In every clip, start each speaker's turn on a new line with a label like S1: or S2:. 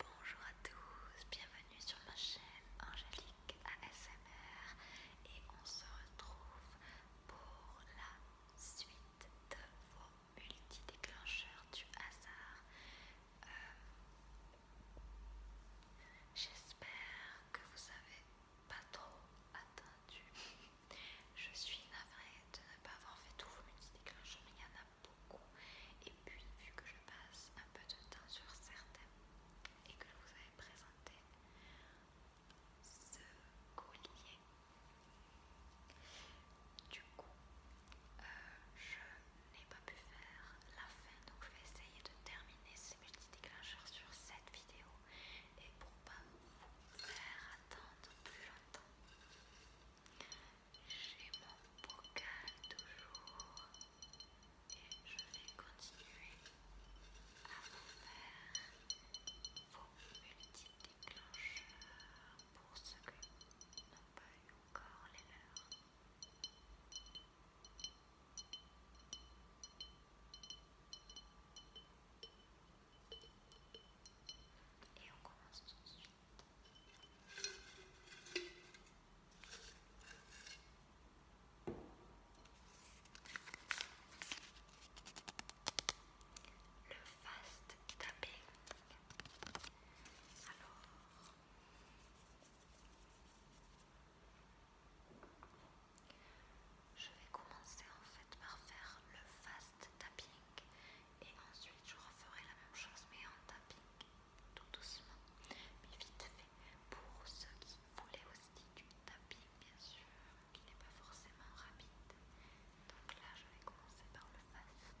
S1: Bonjour à tous, bienvenue sur ma chaîne Angélique ASMR et on se retrouve pour la suite de vos multi-déclencheurs du hasard. Euh, j'espère que vous avez pas trop attendu. Je suis navrée de ne pas avoir fait tous vos multi-déclencheurs, mais il y en a beaucoup. Et puis, vu que je passe un peu de temps sur certains et que je vous avais présenté ce collier, du coup, euh, je n'ai pas pu faire la fin. Donc, je vais essayer de terminer ces multi-déclencheurs sur cette vidéo et pour pas vous faire attendre plus longtemps j'ai mon bocal toujours et je vais continuer à vous faire vos multiples déclencheurs pour ceux qui n'ont pas eu encore les leurs. Et on commence Le fast tapping. Alors. Je vais commencer en fait par faire le fast et ensuite je referai la même chose mais en tapping tout doucement mais vite fait pour ceux qui voulaient aussi du tapping bien sûr qui n'est pas forcément rapide donc là je vais commencer par le fast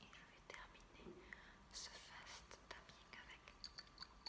S1: Et je vais terminer ce fast tapping avec le verre.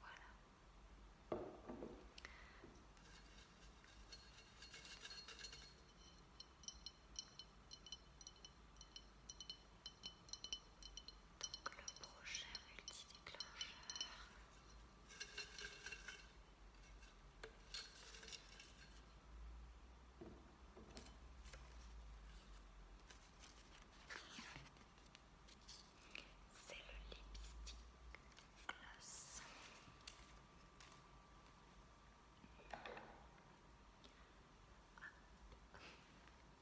S1: Voilà. Donc le prochain multi-déclencheur. C'est le lipstick classe. Ah.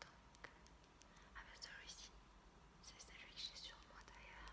S1: Donc, mais euh, celui-ci, c'est celui que j'ai sur moi d'ailleurs.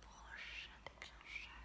S1: Prochain déclencheur.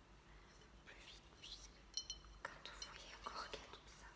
S1: plus vite. Puis, quand vous voyez encore qu'il y a tout ça,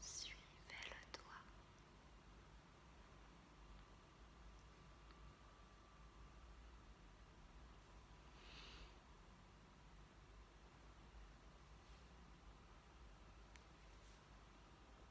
S1: Suivez le doigt.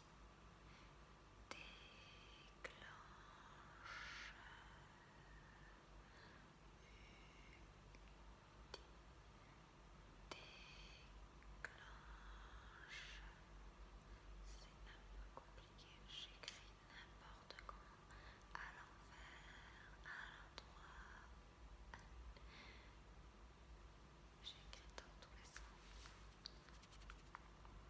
S1: Déclenche, déclenche. C'est un peu compliqué, j'écris n'importe comment, à l'envers, à l'endroit, j'écris dans tous les sens.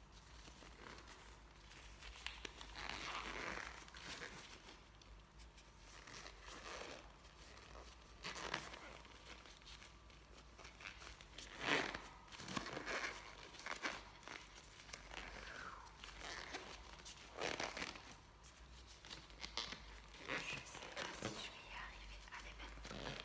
S1: Je sais pas si je vais y arriver. Ben.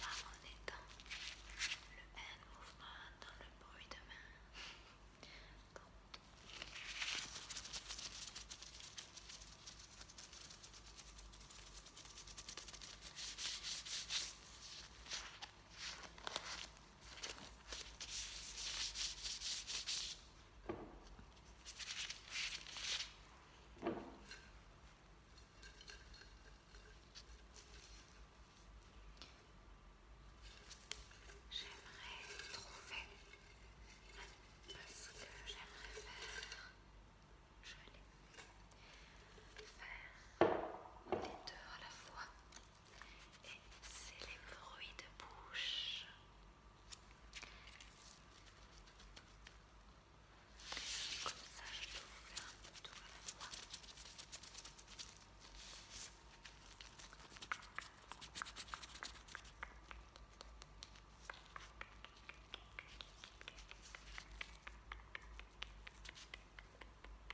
S1: Là, on est dans le hand movement, dans le boy de main. J'aimerais trouver parce que j'aimerais faire faire les deux à la fois et c'est les bruits de bouche. Comme ça, je peux faire un peu tout à la fois.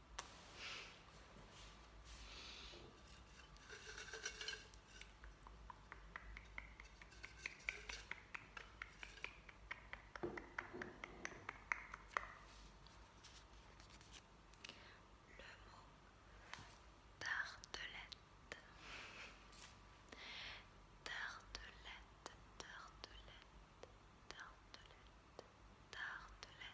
S1: Le mot tartelette. Tartelette, tartelette, tartelette, tartelette,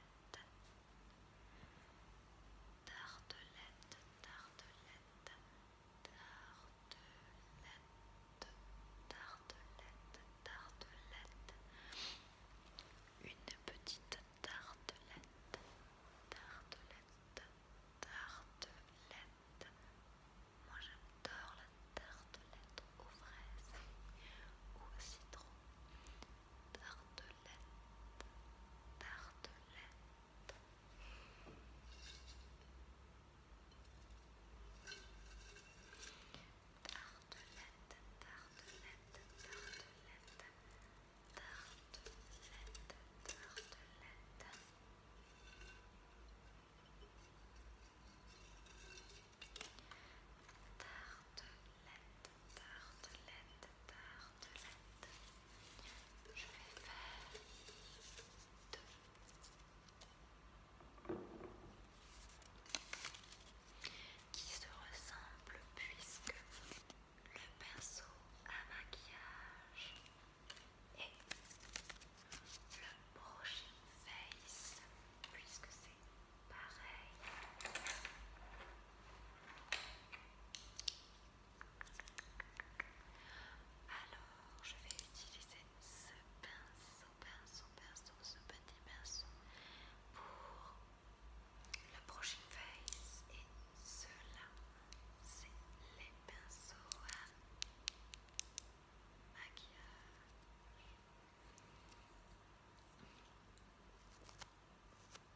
S1: Tartelette, tartelette, tartelette, tartelette, tartelette. Une petite tartelette, tartelette, tartelette. Moi j'adore la tartelette aux fraises ou au citron tartelette, tartelette. Tartelette, tartelette, tartelette, tartelette, tartelette tartelette, tartelette. Je vais faire deux qui se ressemblent puisque le pinceau à maquillage et le prochain face puisque c'est Pareil. Alors, je vais utiliser ce pinceau, pinceau, pinceau, ce petit pinceau pour le brushing face et cela, c'est les pinceaux à maquillage.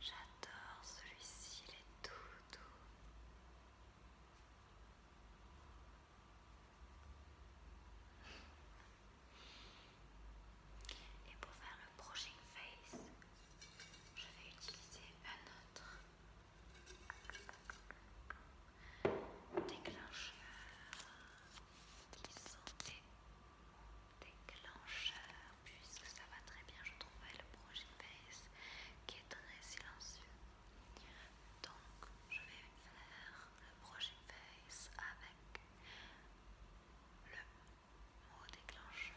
S1: J'adore celui-ci, il est tout doux. Et pour faire le prochain face, je vais utiliser un autre déclencheur qui sont des puisque ça va très bien je trouvais le projet Face qui est très silencieux donc je vais faire le projet face avec le mot déclencheur.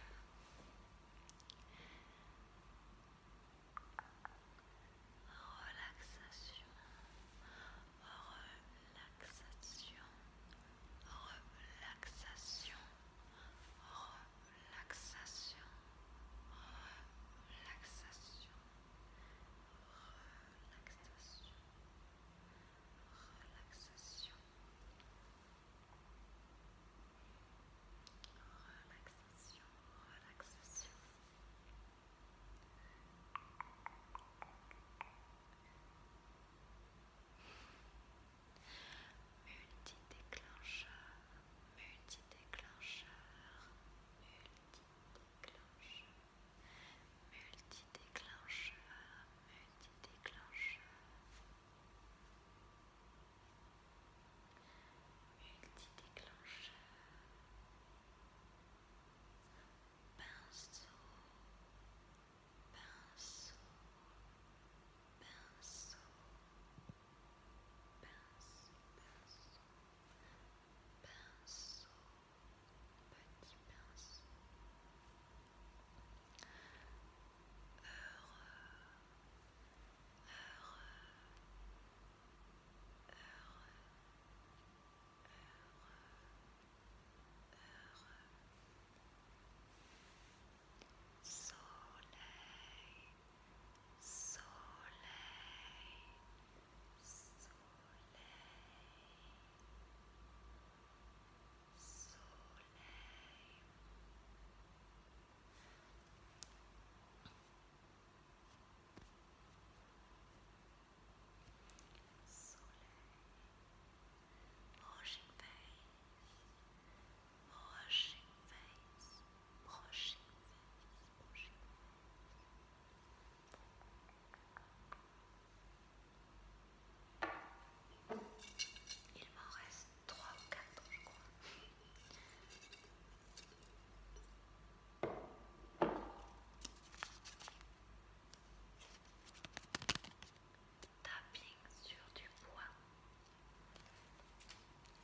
S1: Relaxation, relaxation, relaxation, relaxation, relaxation, relaxation, relaxation, relaxation, Relaxation, relaxation. Multi-déclencheur, multi-déclencheur, multi-déclencheur, déclencheur multi-déclencheur, pinceau, pinceau, pinceau, pinceau, pinceau, pinceau, petit pinceau, heureux heureux, soleil, Soleil, washing face, washing face, washing face, washing face. Il 3 ou 4 je crois. Tapping sur du bois.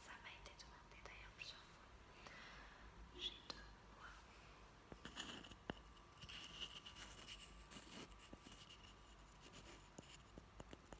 S1: Ça m'a été demandé d'ailleurs plusieurs fois. J'ai deux bois.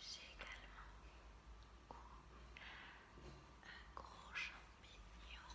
S1: J'ai également un gros champignon.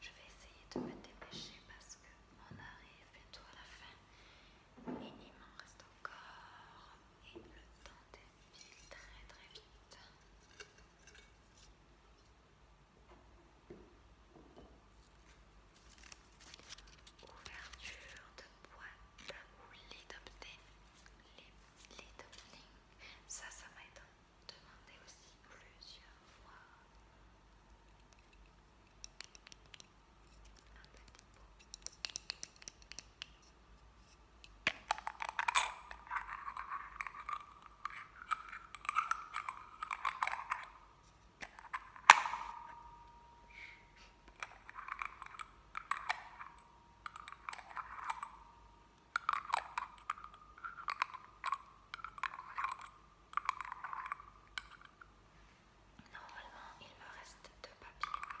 S1: Je vais essayer de me dépêcher parce qu'on arrive bientôt à la fin et il m'en reste encore et le temps défile très très vite. Ouverture de boîte ou les opening. Ça, ça m'a été demandé aussi plusieurs fois. Normalement, il me reste deux papiers.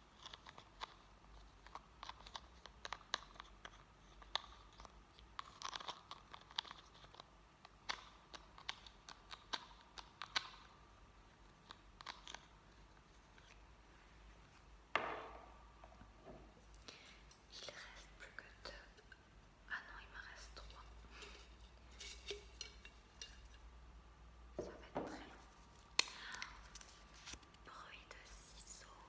S1: Il reste plus que deux. Ah non, il me reste trois. Ça va être Bruit de ciseaux.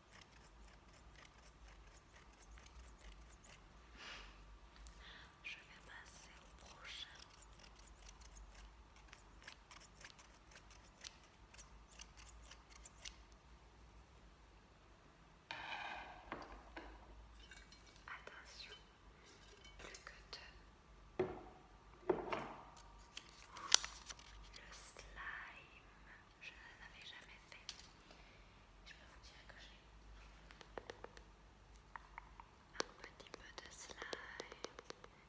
S1: Je vais passer au prochain. Attention, plus que deux. Le slime je n'avais jamais fait. Je peux vous dire que j'ai un petit peu de slime.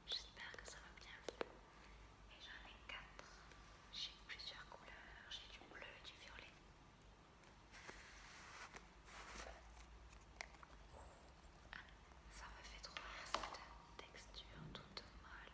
S1: J'espère que ça va bien Et j'en ai quatre. J'ai plusieurs couleurs. J'ai du bleu du violet. Ah, ça me fait trop rire cette texture toute molle.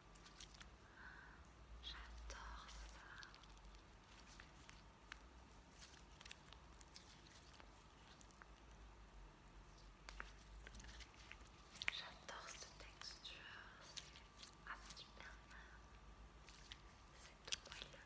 S1: J'adore ça. J'adore cette texture. Ah, c'est super. C'est tout moelleux.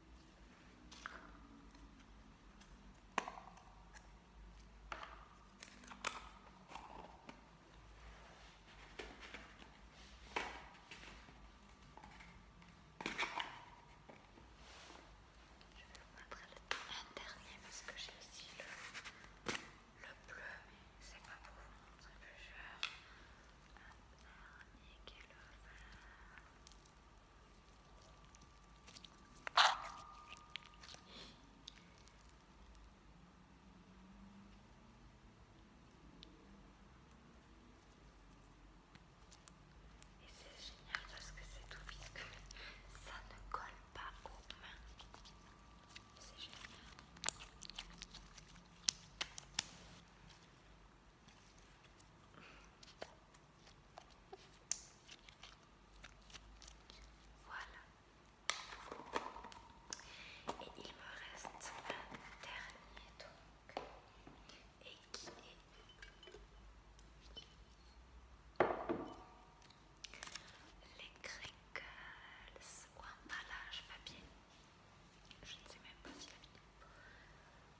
S1: Je vais vous montrer le dernier parce que j'ai aussi le, bleu, mais c'est pas pour vous montrer plusieurs. Un dernier qui est le vert. Et c'est génial parce que c'est tout visqueux, ça ne colle pas aux mains. C'est génial. Voilà. Et il me reste un dernier donc. Et qui est les crinkles ou emballage papier. Je ne sais même pas si la vidéo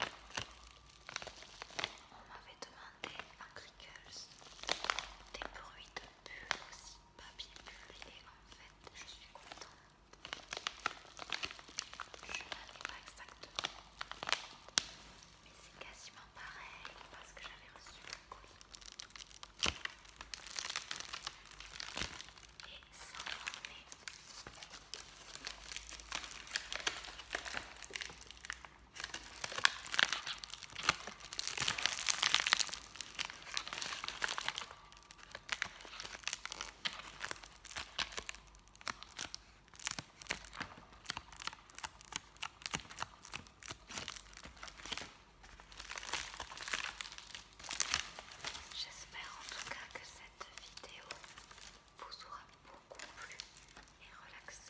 S1: On m'avait demandé à crickles des bruits de bulles aussi, pas bien et en fait je suis contente. Je n'en pas exactement, mais c'est quasiment pareil parce que j'avais reçu le colis. Et ça en J'espère en tout cas que cette vidéo vous aura beaucoup plus et relaxé.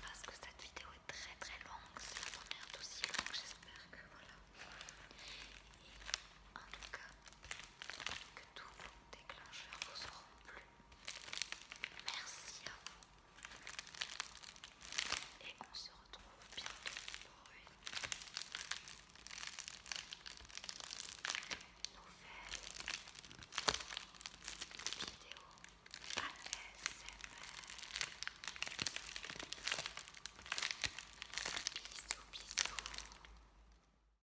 S1: Parce que cette vidéo est très très longue, c'est la première d'aussi longue, j'espère que voilà. Et en tout cas, que tout déclencheurs vous auront plu. Merci à vous. Et on se retrouve bientôt pour une nouvelle vidéo ASMR. Bisous, bisous.